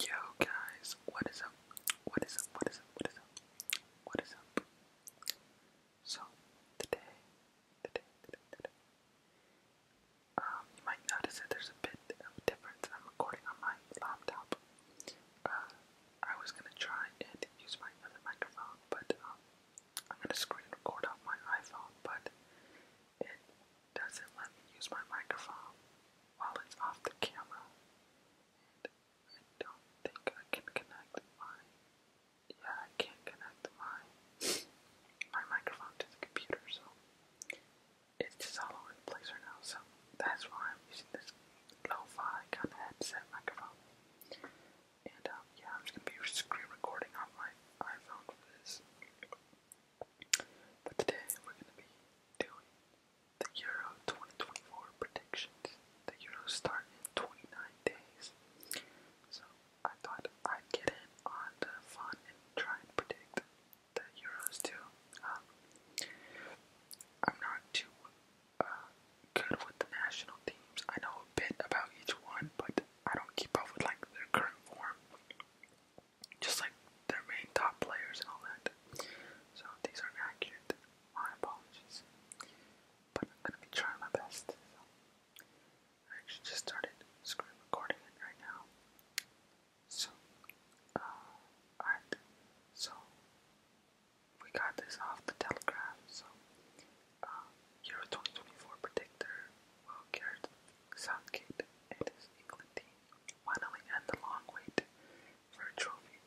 Yo guys, what is up? What is up? What is up? What is up? What is up? So today, today, today, today. Um, you might notice that there's a bit of difference. I'm recording on my laptop. Uh, I was gonna try and use my other microphone, but um, I'm gonna screen record off my iPhone, but doesn't let me use my microphone while it's off the camera. And I don't think I can connect my yeah, I can't connect my my microphone to the computer, so it's just all over the place right now, so that's why I'm using this lo kind of headset microphone. And um, yeah, I'm just gonna be screen recording on my iPhone for this. But today we're going to be doing the Euro 2024 predictions. The Euros start in 29 days. So I thought I'd get in on the fun and try and predict the Euros too. Um, I'm not too uh, good with the national teams. I know a bit about each one, but I don't keep up with like their current form just like their main top players and all that. So these aren't accurate. My apologies. But I'm gonna be trying my best. So. I actually just started screen recording it right now. So, uh, alright. So, we got this off the telegraph. So, uh, Euro 2024 predictor well, carry Southgate and his England team Finally, end the long wait for a trophy.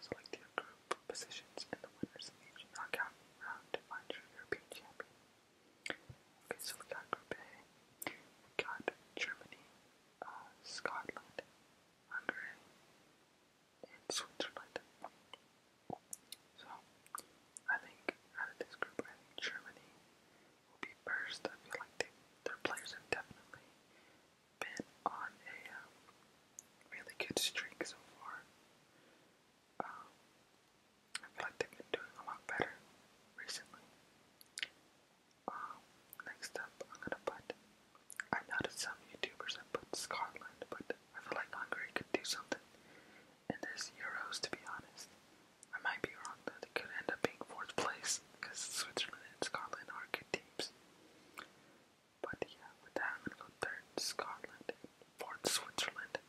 Select your group positions in the winners of knockout round to find your European champion. Okay, so we got Group A. We got Germany, uh, Scotland, Hungary, and Switzerland. So, I think out of this group, I think Germany will be first. I feel like they, their players have definitely been on a um, really good streak so far. Um, I feel like they've been doing a lot better recently. Um, next up, I'm gonna put. I noticed some YouTubers have put Scotland, but I feel like Hungary could do something in this Euros, to be honest. I might be wrong but it could end up being fourth place because Switzerland and Scotland are good teams. But yeah, with that, I'm gonna go third Scotland fourth Switzerland.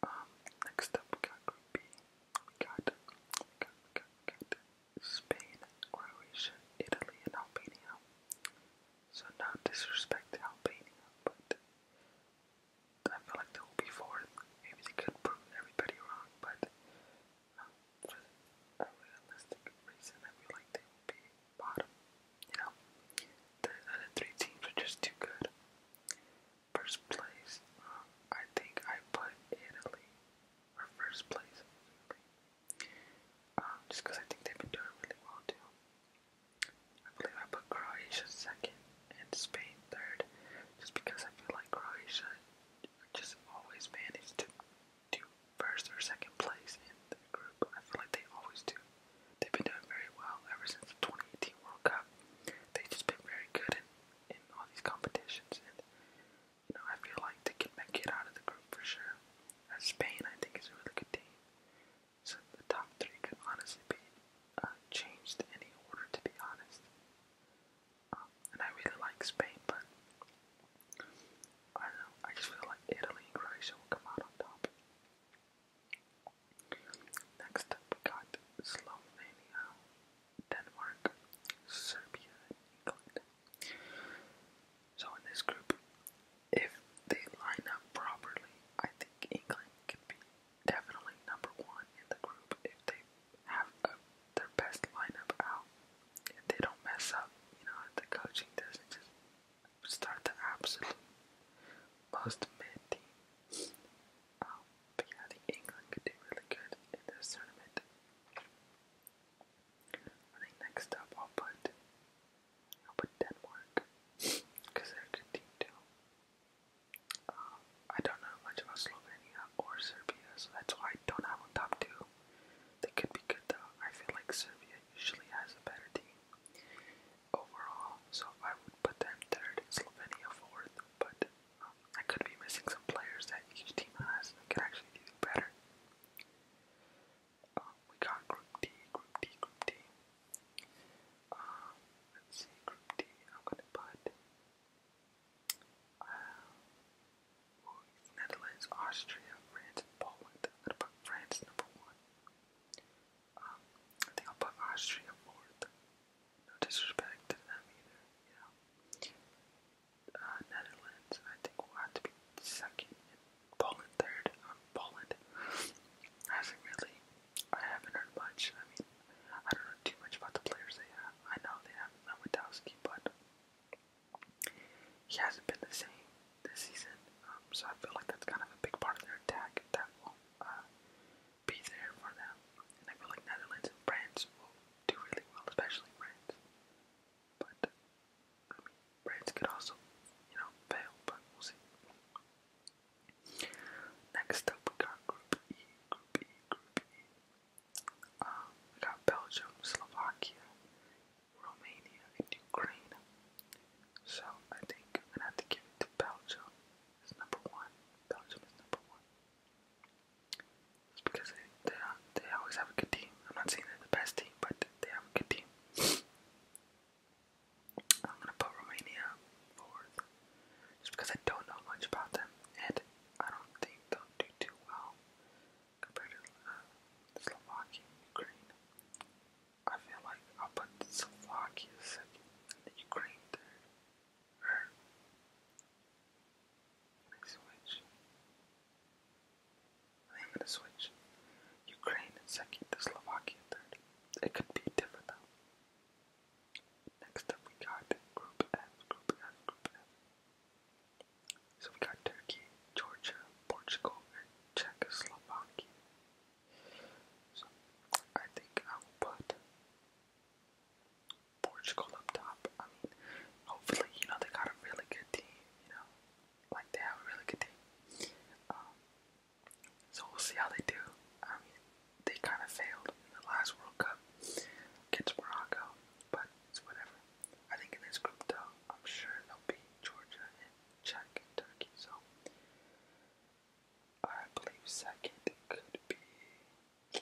Um, next up we got Group B. got, got, got, got Spain, Croatia, Italy, and Albania. So not disrespect Albania, but I feel like there will be fourth. Maybe they could prove everybody wrong, but um, a realistic reason, I feel like they will be bottom. You know, the other three teams are just too good. First place, uh, I think I put Italy or first place, um, just because I think they've been doing really well too. I believe I put Croatia second and Spain third, just because I feel like Croatia just always manage to do first or second place in the group. I feel like they always do. They've been doing very well ever since the 2018 World Cup. They've just been very good in, in all these competitions, and you know I feel like they can make it out of the group for sure. And uh, Spain, I think, is a really good team. So the top three could honestly be uh, changed in any order, to be honest and I really like Spain, but I don't know. I just feel like Italy and Croatia will come out on top. Next up, we got Slovenia, Denmark, Serbia, and England. So in this group, if they line up properly, I think England can be definitely number one in the group if they have their best lineup out. If they don't mess up, you know, the coaching doesn't just start the absolute most mid team. Um, but yeah, I England could do really good in this tournament. I think next up I'll put I'll put Denmark because they're a good team too. I don't know much about Slovenia or Serbia, so that's why I don't have a top two. They could be good though. I feel like Serbia usually has a better team overall, so I would put them third Slovenia fourth, but um, I could be missing some players that each team has that could actually do better. Um, we got Group D, Group D, Group D. Um, let's see, Group D. I'm gonna put Netherlands, Austria, France, Poland. I'm gonna put France number one. Um, I think I'll put Austria fourth. No disrespect to them either, you uh, Netherlands, I think will have to be second, Poland third. Um, Poland hasn't really, I haven't heard much. I mean, I don't know too much about the players they have. I know they have Lewandowski, but he hasn't been the same this season. Um, so I feel like that's kind of a big part of their attack that will uh, be there for them. And I feel like Netherlands and France will do really well, especially France. But I mean, France could also, you know, fail, but we'll see. Next up, we got Group E, Group E, Group E. Uh, we got Belgium, Slovakia, Romania, and Ukraine. So I think I'm gonna have to give it to Belgium. is number one. Belgium is number one. It's because they they, they always have a good team. I'm not saying they're the best team, but they have a good team. I'm gonna put Romania fourth, just because I don't know much about them, and I don't think they'll do too well compared to uh, Slovakia Ukraine. I feel like I'll put Slovakia second and Ukraine third. let me switch. I am gonna switch. Ukraine and second to Slovakia third. It could be different though. Next up, we got Group F, Group F, Group F. So we got Turkey, Georgia, Portugal, and Czechoslovakia. So I think I will put Portugal up top. I mean, hopefully, you know, they got a really good team, you know, like they have a really good team. Um, so we'll see how they do. I mean, they kind of failed in the last World Cup Gets Morocco. But it's whatever. I think in this group though, I'm sure there'll be Georgia and Czech and Turkey, so I believe second could be we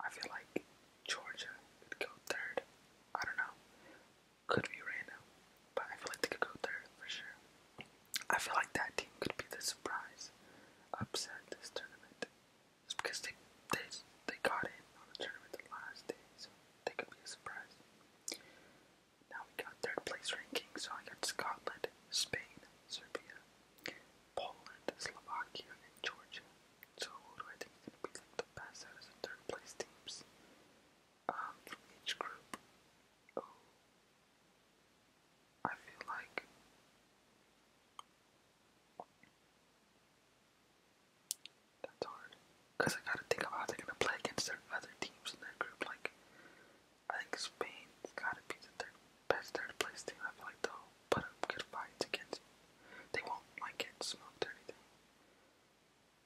I feel like Georgia could go third. I don't know could be right But I feel like they could go third for sure. I feel like that team could be the surprise upset this tournament. Just because they they they got in on the tournament the last day, so they could be a surprise. Now we got third place ranking, so I got Scotland, Spain, Serbia, Poland, Slovakia, and Georgia. So who do I think is gonna be like the best out of the third place teams? from each group. Oh, I feel like that's hard because I gotta think about how they're gonna play against their other teams in their group. Like, I think Spain's gotta be the third best third place team. I feel like they'll put good fights against. They won't like get smoked or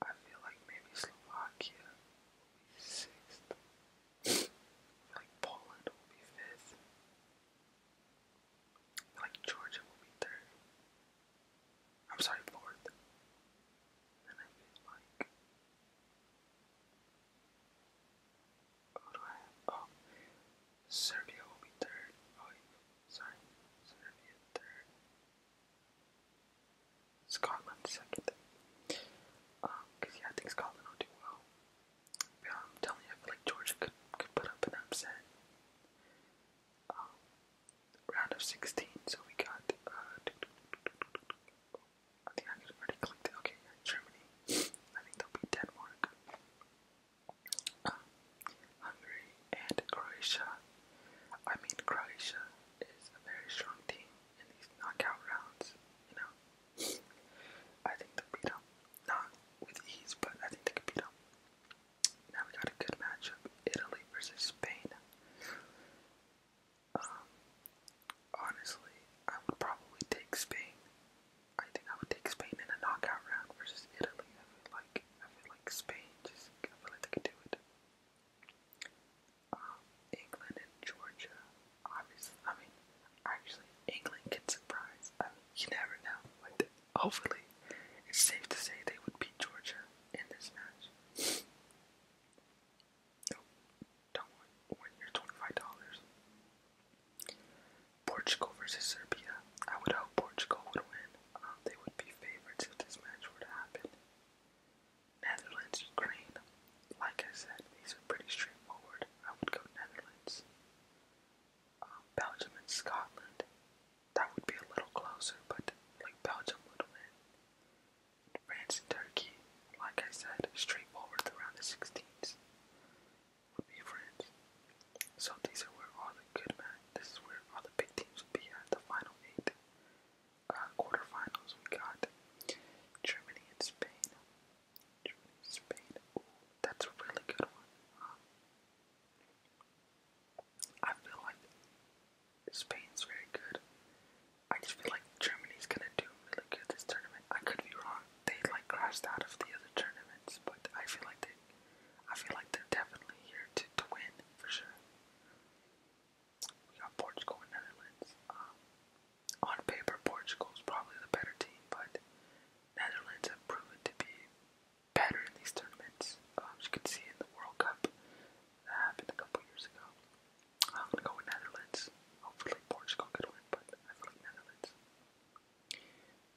I feel like maybe Slovakia will be sixth. like Poland will be fifth. like Georgia will be third. I'm sorry, fourth. And I feel like who do I have? Oh, Serbia will be third. Oh, sorry, Serbia third. Scotland second. Because, um, yeah, I think Scotland will do well. Yeah, I'm telling you, I feel like Georgia could, could put up an upset. Um, round of 16, so we got. Uh, I think I already clicked Okay, Germany. I think they'll be Denmark. Um, Hungary and Croatia. I mean, Croatia is a very strong team in these knockout rounds, you know. I think they beat them. Not with ease, but I think they could beat them. Now we got a good matchup Italy versus Spain. Um, honestly, I would probably take Spain. I think I would take Spain in a knockout round versus Italy. I feel like I feel like Spain just I feel like they could do it. Um, England and Georgia, obviously. I mean, actually, England can surprise. I mean, you never know. hopefully, it's safe to say they would beat Georgia in this match. No, don't win your twenty-five dollars. Portugal versus Serbia. I would hope Portugal would win. Um, they would be favorites if this match were to happen. Netherlands, Ukraine. Like I said, these are pretty straightforward. I would go Netherlands. Um, Belgium and Scotland. That would be a little closer, but like Belgium would win. France and Turkey. Like I said, straightforward around the 16s would be France. So these are where all the good match. This is where all the big teams would be at the final eight. Uh, quarterfinals, we got Germany and Spain. Spain. Ooh, that's a really good one. I feel like Spain's very good. I just feel like Germany's gonna do really good this tournament. I could be wrong. They like crashed out of the other tournaments, but I feel like they, I feel like they're definitely here to, to win for sure. We got Portugal and Netherlands. Um, on paper, Portugal's probably the better team, but Netherlands have proven to be better in these tournaments. Um, as you can see in the World Cup that happened a couple years ago. I'm gonna go with Netherlands. Hopefully, Portugal could win, but I feel like Netherlands.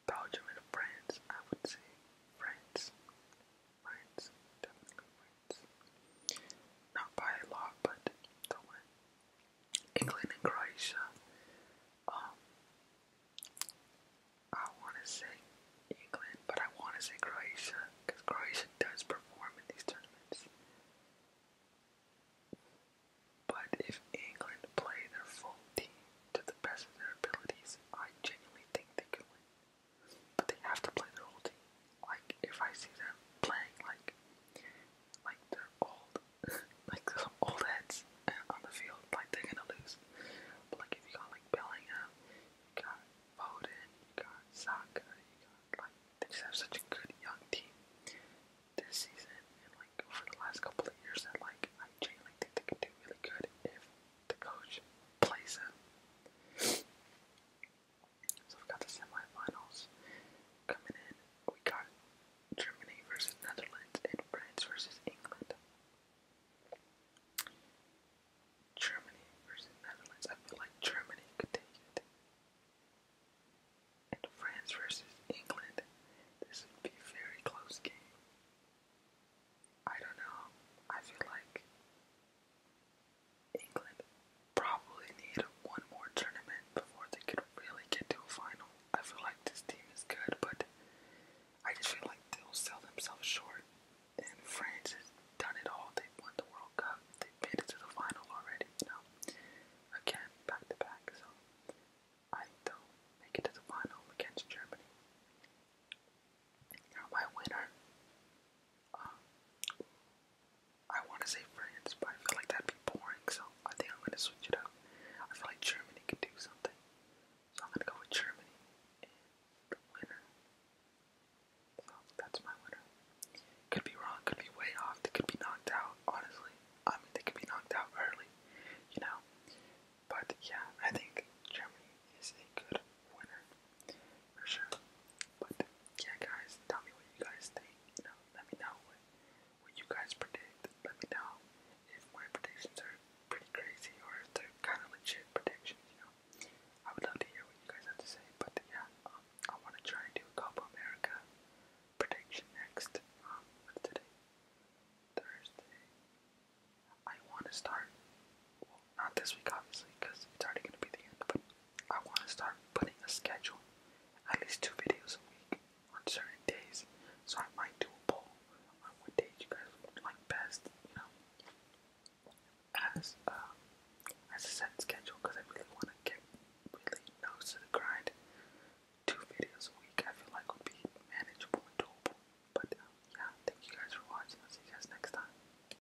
Belgium and France, I would say France. France, definitely not by a lot, but England and Croatia. Um, I want to say England, but I want to say Croatia because Croatia does perform in these tournaments. But if England play their full team to the best of their abilities, I genuinely think they can win. But they have to play their whole team. Like if I see them playing like like they're old like some old heads on the field, like they're gonna lose. But like if you got like Bellingham, you got Foden, you got Saka, you got like they just have such a good young team this season and like over the last couple of years that like I genuinely think they can do really good if the coach plays them. So we've got the semifinals coming in. We got Germany versus Netherlands and France versus England. Germany versus Netherlands. I feel like Germany could take it. And France versus England. This would be very close game. I don't know. I feel like England probably need one more tournament before they could really get to a final. I feel like this team is good, but I just feel like they'll sell themselves short. And France has done it all. They've won the World Cup. they made it to the final already, you know. Again, back to back, so I think they'll make it to the final against Germany you my winner. Uh, I want to say France, but I feel like that'd be boring, so I think I'm going to switch it up. I feel like Germany could do something. So I'm going to go with Germany and the winner. So that's my winner. Could be wrong, could be way off, they could be knocked out, honestly. I mean, they could be knocked out early, you know. But yeah, I think Germany is a good winner for sure. But yeah, guys, tell me what you guys think. You know, let me know what you guys predict. Let me know if my predictions are pretty crazy or if they're kind of legit predictions. You know, I would love to hear what you guys have to say. But yeah, um, I want to try and do a Copa America prediction next. Um, today? Thursday. I want to start not this week obviously because it's already gonna be the end, but I want to start putting a schedule, at least two videos a week on certain days. So I might do a poll on what days you guys would like best, you know, as um, as a set schedule because I really want to get really nose the grind. Two videos a week I feel like would be manageable and doable. But um, yeah, thank you guys for watching. I'll see you guys next time.